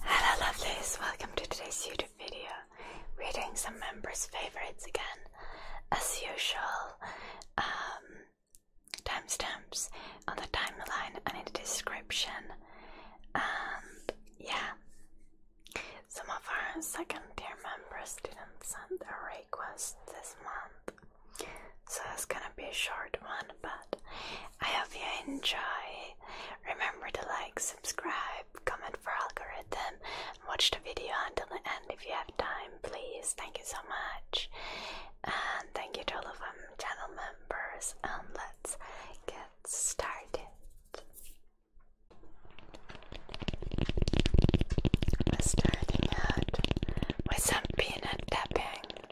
Hello lovelies, welcome to today's YouTube video. Reading some members' favorites again. As usual, um, timestamps on the timeline and in the description. And yeah, some of our second tier members didn't send a request this month. So it's gonna be a short one, but I hope you enjoy. Remember to like, subscribe, comment for algorithm, and watch the video until the end if you have time, please. Thank you so much. And thank you to all of them channel members. And let's get started. We're starting with some peanut tapping.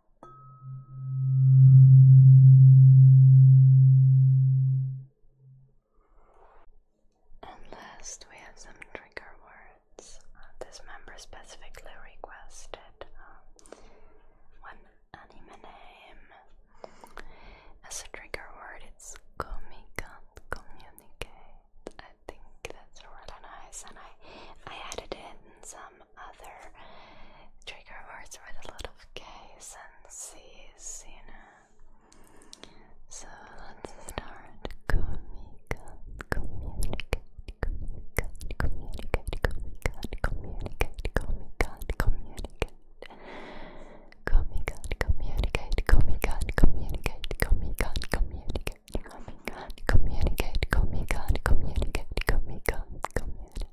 And we have some trigger words. Uh, this member specifically requested um, one anime name as a trigger word. It's communicate. I think that's really nice, and I I added in some other trigger words with a lot of K's and C's, you know. So let's start. Communicate, communicate, communicate, communicate, communicate, communicate, communicate. Communicate, communicate, communicate, communicate, communicate, communicate. Communicate, communicate, communicate, communicate, communicate, communicate.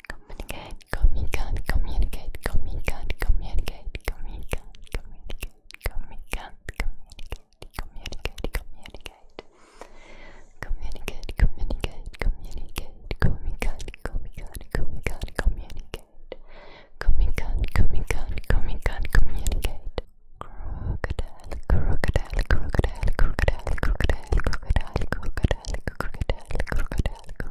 communicate, communicate, communicate, communicate, communicate, communicate, communicate, communicate, communicate, communicate, communicate, communicate, communicate, communicate, communicate, communicate, communicate. Communicate, communicate, communicate, communicate. Crocodile, crocodile, crocodile, crocodile, crocodile, crocodile, crocodile, crocodile, crocodile,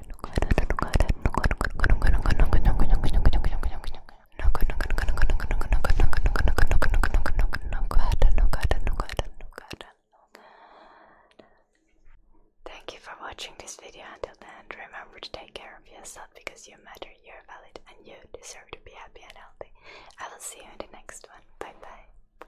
Thank you for watching this video until the end. Remember to take care of yourself because you matter, you're valid, and you deserve to be happy and healthy. I will see you in the next one. Bye bye.